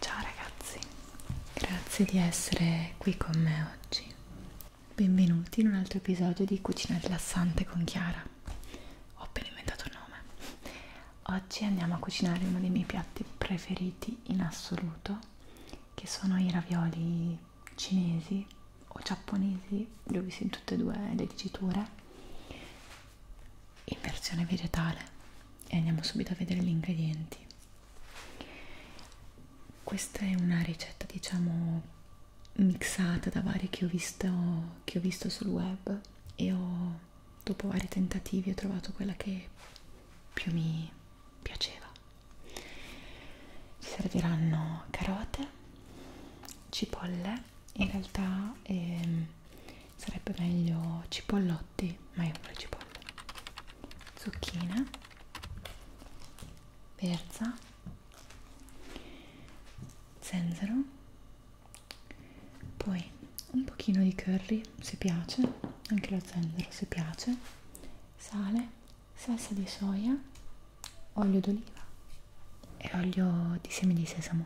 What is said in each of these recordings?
Ciao ragazzi, grazie di essere qui con me oggi. Benvenuti in un altro episodio di Cucina rilassante con Chiara. Ho appena inventato il nome. Oggi andiamo a cucinare uno dei miei piatti preferiti in assoluto, che sono i ravioli cinesi o giapponesi, li ho visti in tutte e due le diciture in versione vegetale e andiamo subito a vedere gli ingredienti questa è una ricetta diciamo mixata da vari che ho visto che ho visto sul web e ho dopo vari tentativi ho trovato quella che più mi piaceva ci serviranno carote cipolle in realtà ehm, sarebbe meglio cipollotti ma io vorrei cipolle zucchine verza zenzero poi un pochino di curry se piace anche lo zenzero se piace sale, salsa di soia, olio d'oliva e olio di semi di sesamo.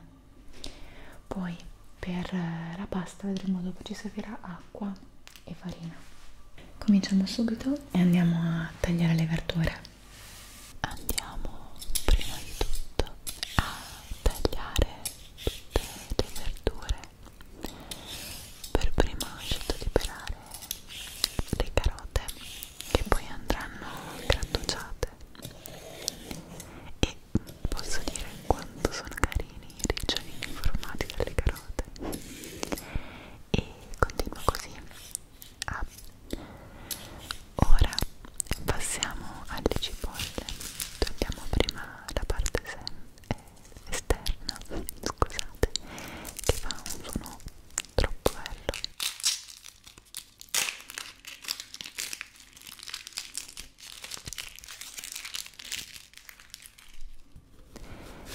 Poi per eh, la pasta vedremo dopo ci servirà acqua e farina. Cominciamo subito e andiamo a tagliare le verdure. Andiamo prima di tutto a tagliare tutte le verdure per prima ho scelto di pelare le carote che poi andranno grattugiate e posso dire quanto sono carini i ricciolini formati dalle carote e continuo così ah. ora passiamo alle cipolle togliamo prima la parte semplice eh, esterna, scusate, che fa un suono troppo bello.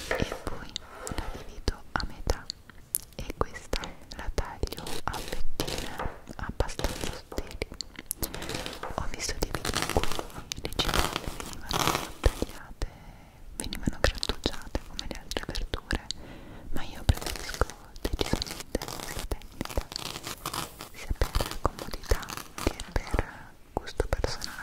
E poi la divido a metà e questa la taglio a fettine abbastanza sottili. Ho visto dei video in cui le cipolline venivano tagliate grattugiate venivano grattugiate come le altre verdure ma io preferisco decisamente questa tecnica sia per comodità che per gusto personale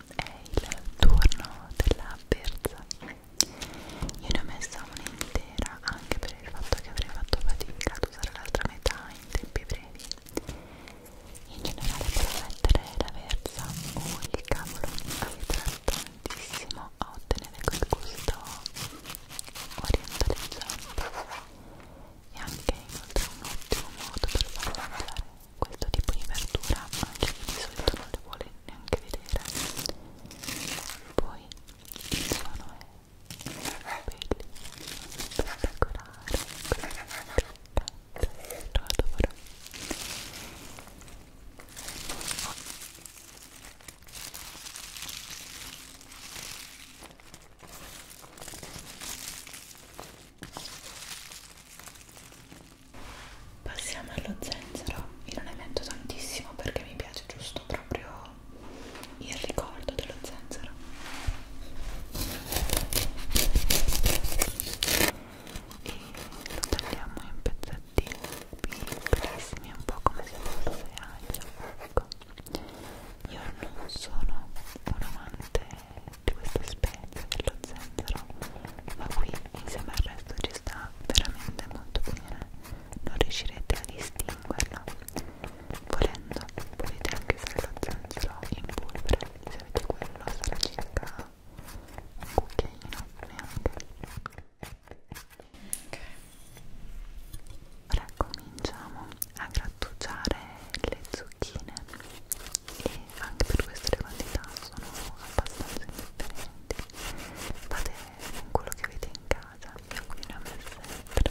è il turno della berza io ne ho messa un'intera anche per il fatto che avrei fatto fatica ad usare l'altra metà in tempi brevi in generale per mettere la verza o oh, il cavolo aiuterà tantissimo a ottenere quel gusto orientalizzante e anche inoltre un ottimo modo per farlo mangiare questo tipo di verdura anche di solito non le vuole neanche vedere poi il suono è bellissimo spettacolare lo adoro Passiamo allo zenzero, io non ne metto tantissimo perché mi piace giusto proprio il ricordo dello zenzero. E lo tagliamo in pezzettini piccolissimi, un po' come se fosse aglio. Ecco. Io non sono un amante di questa specie pezzi dello zenzero ma qui insieme al resto ci sta veramente molto bene non riuscirete a distinguerlo volendo potete anche usare lo zenzero in polvere se avete quello sarà circa un cucchiaino neanche ok ora cominciamo a grattugiare le zucchine e anche per questo le quantità sono abbastanza indifferenti fate quello che avete in casa io qui ne ho messe 3 e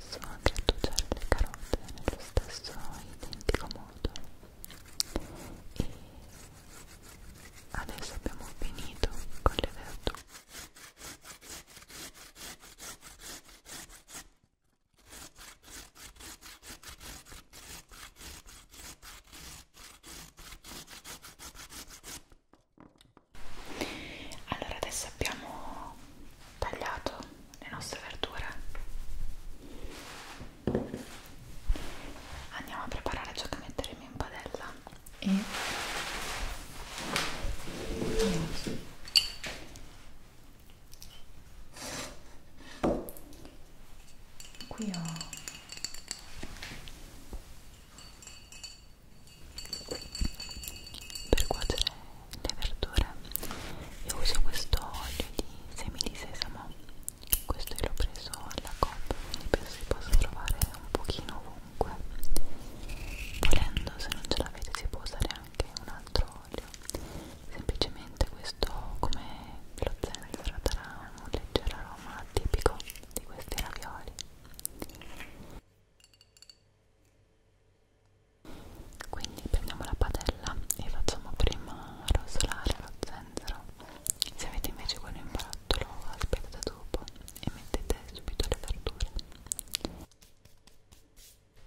stesso grattugiare le carote nello stesso identico modo e adesso abbiamo finito con le verdure allora adesso abbiamo tagliato le nostre verdure andiamo a preparare ciò che metteremo in padella e qui ho per cuocere le verdure io uso questo olio di semi di sesamo questo l'ho preso alla coppa quindi penso si possa trovare un pochino ovunque volendo se non ce l'avete si può usare anche un altro olio semplicemente questo come lo zenzero darà un leggero aroma tipico di questi ravioli quindi prendiamo la padella e facciamo prima rosolare lo zenzero se avete invece quello in barattolo aspettate dopo e mettete subito le verdure oltre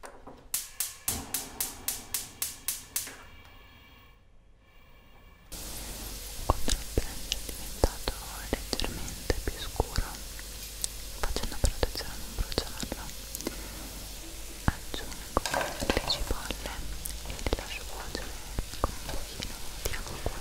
al brand è diventato leggermente più scuro facendo però attenzione a non bruciarlo aggiungo le cipolle e le lascio cuocere con un pochino di acqua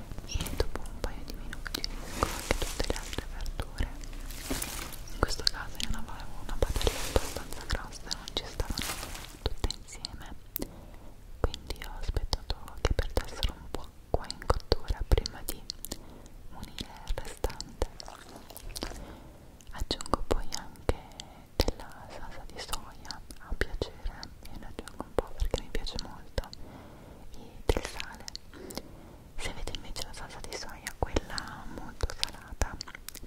e dopo un paio di minuti con anche tutte le altre verdure in questo caso io non avevo una padella abbastanza grossa non ci stavano tutte insieme quindi ho aspettato che perdessero un po' qua in cottura prima di unire il restante aggiungo poi anche della salsa di soia a piacere e la aggiungo un po' perché mi piace molto del sale se avete invece la salsa di soia quella molto salata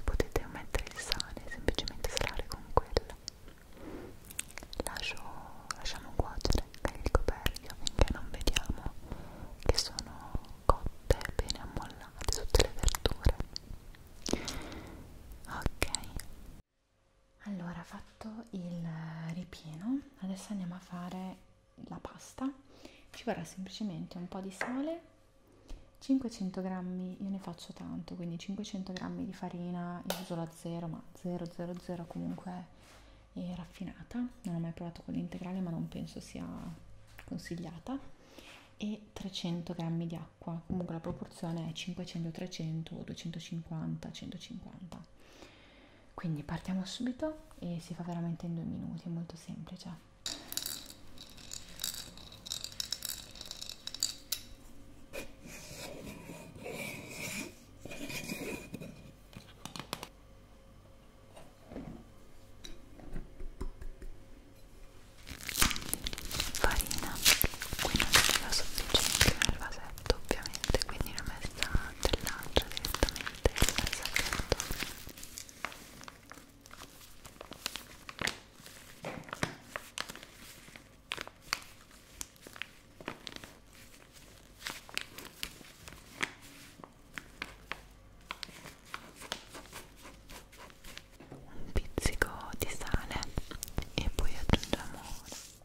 potete mettere il sale semplicemente salare con quella Lascio, lasciamo cuocere le ricoperte finché non vediamo che sono cotte bene ammollate tutte le verdure ok allora, fatto il eh, ripieno, adesso andiamo a fare la pasta. Ci vorrà semplicemente un po' di sale, 500 grammi, io ne faccio tanto, quindi 500 grammi di farina, io uso la 0, ma 000 comunque è raffinata. Non ho mai provato con l'integrale, ma non penso sia consigliata. E 300 grammi di acqua, comunque la proporzione è 500-300 o 250-150 quindi partiamo subito e si fa veramente in due minuti è molto semplice Farina, qui non c'è la sufficiente nel vasetto sacchetto ovviamente quindi l'ho messa dell'altra direttamente nel sacchetto un pizzico di sale e poi aggiungiamo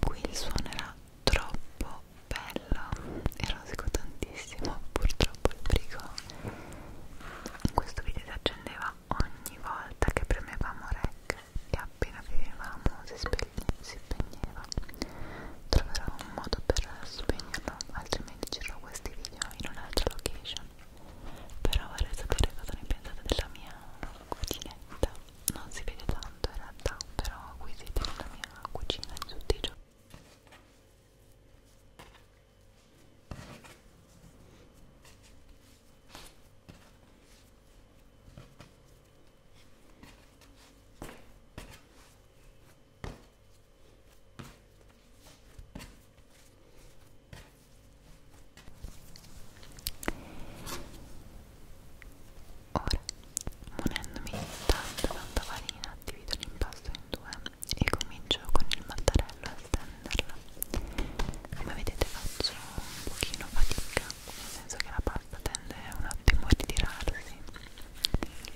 qui il suono era troppo bello erosico tantissimo purtroppo il brico in questo video si accendeva ogni volta che premevamo rec e appena vivevamo si, si spegneva troverò un modo per spegnerlo altrimenti ci questi video in un'altra location però vorrei sapere cosa ne pensate della mia cucinetta non si vede tanto in realtà però qui siete nella mia cucina di tutti i giorni Ora, munendomi di tanta tanta farina, divido l'impasto in due e comincio con il mattarello a stenderla. Come vedete faccio un pochino fatica, nel senso che la pasta tende un attimo a ritirarsi.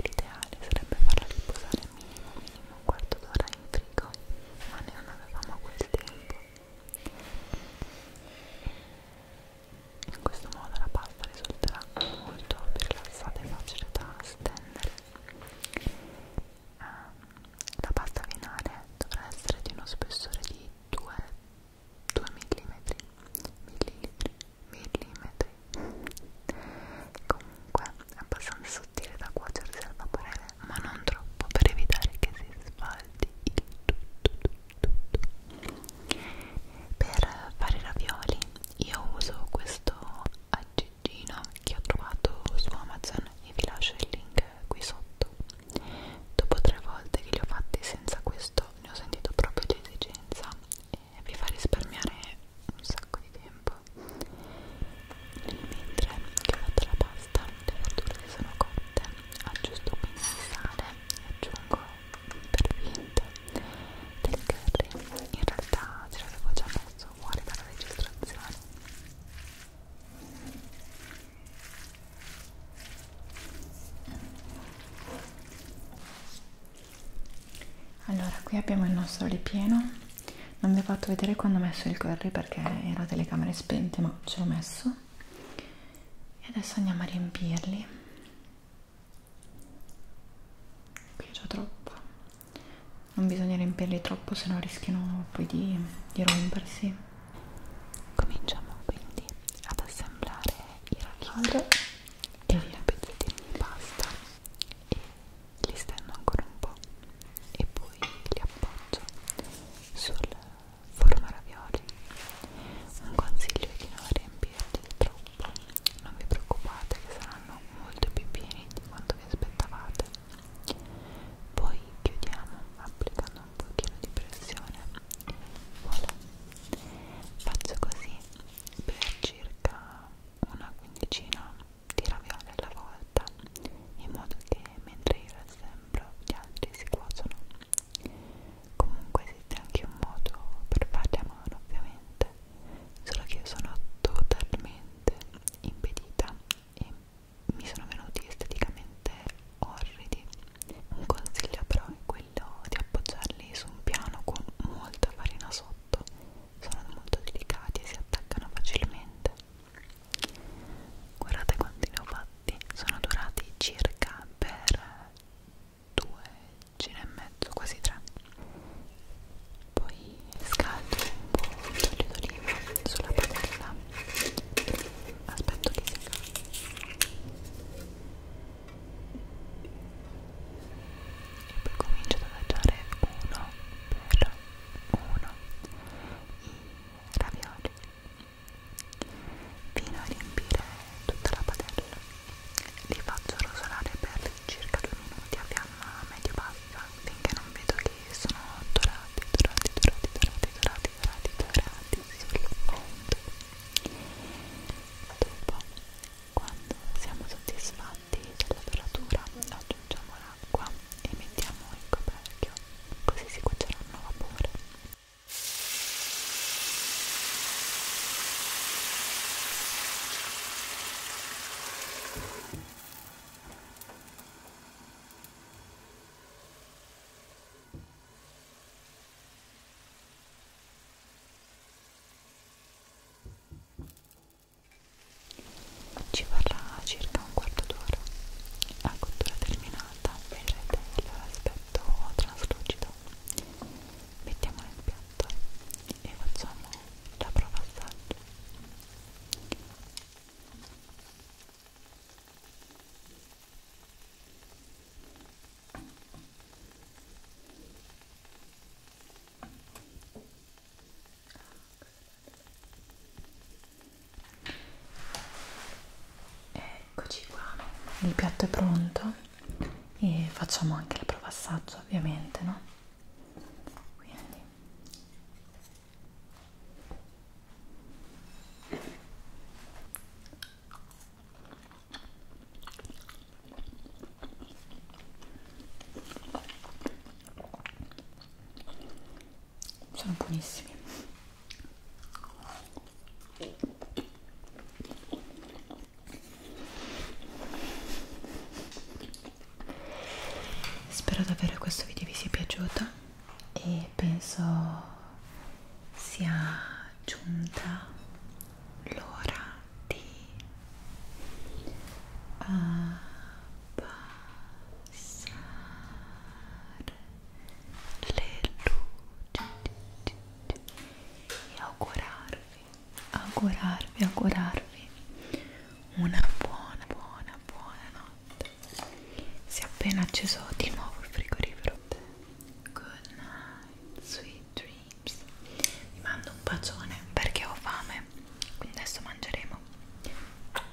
L'ideale sarebbe farla riposare minimo minimo un quarto d'ora in frigo ma noi non avevamo quel tempo in questo modo la pasta risulterà molto più rilassata e facile da stendere ehm, la pasta finale dovrà essere di uno spessore di 2, 2 mm millilitri, millilitri comunque è abbastanza sottile da cuocersi al vapore, ma non troppo per evitare che si sfaldi il tutto, tutto, tutto. Per fare i ravioli io uso questo aggeggino che ho trovato su Amazon e vi lascio il link qui sotto. Dopo tre volte che li ho fatti senza questo ne ho sentito proprio l'esigenza e vi fa risparmiare un sacco di tempo nel mentre che ho fatto la pasta le verdure si sono cotte aggiusto un po' di sale e aggiungo per finta del curry in realtà ce l'avevo già messo fuori dalla registrazione allora qui abbiamo il nostro ripieno non vi ho fatto vedere quando ho messo il curry perché era telecamere spente ma ce l'ho messo e adesso andiamo a riempirli qui è già troppo non bisogna riempirli troppo se no rischiano poi di, di rompersi cominciamo quindi ad assemblare i raccolti e i pezzettini di pasta e li stendo ancora un po' e poi li appoggio sul forno ravioli un consiglio è di non riempirli troppo non vi preoccupate che saranno molto più pieni di quanto vi aspettavate poi chiudiamo applicando un pochino di pressione e voilà faccio così per circa una quindicina di ravioli alla volta in modo che mentre io l'assemblo gli altri si cuociono comunque esiste anche un modo per farli a mano ovviamente solo che io sono totalmente impedita e mi sono venuti esteticamente orridi un consiglio però è quello di appoggiarli su un piano con molta farina sotto sono molto delicati e si attaccano facilmente guardate quanti ne ho fatti sono durati circa per due giri e mezzo quasi tre poi scaldo un po' d'olio d'oliva sulla padella aspetto che si caldi e poi comincio ad adagiare uno per uno ravioli fino a riempire tutta la padella li faccio rosolare per circa 2 minuti a fiamma medio bassa finché non vedo che sono dorati dorati dorati dorati dorati dorati dorati sul fondo dopo quando siamo soddisfatti della doratura aggiungiamo la acqua e mettiamo il coperchio così si cuoceranno a vapore ci vorrà circa un quarto d'ora a cottura terminata vedrete l'aspetto traslucido mettiamo nel piatto e facciamo la prova assaggio Eccoci qua, il piatto è pronto e facciamo anche la prova assaggio ovviamente, no? Quindi sono buonissimi spero davvero questo video vi sia piaciuto e penso sia giunta l'ora di abbassare eh, abbassare le luci e augurarvi, augurarvi, augurarvi una buona, buona, buona notte. Si è appena acceso di nuovo il frigorifero. Good night, sweet dreams. Vi mando un bacione perché ho fame, quindi adesso mangeremo.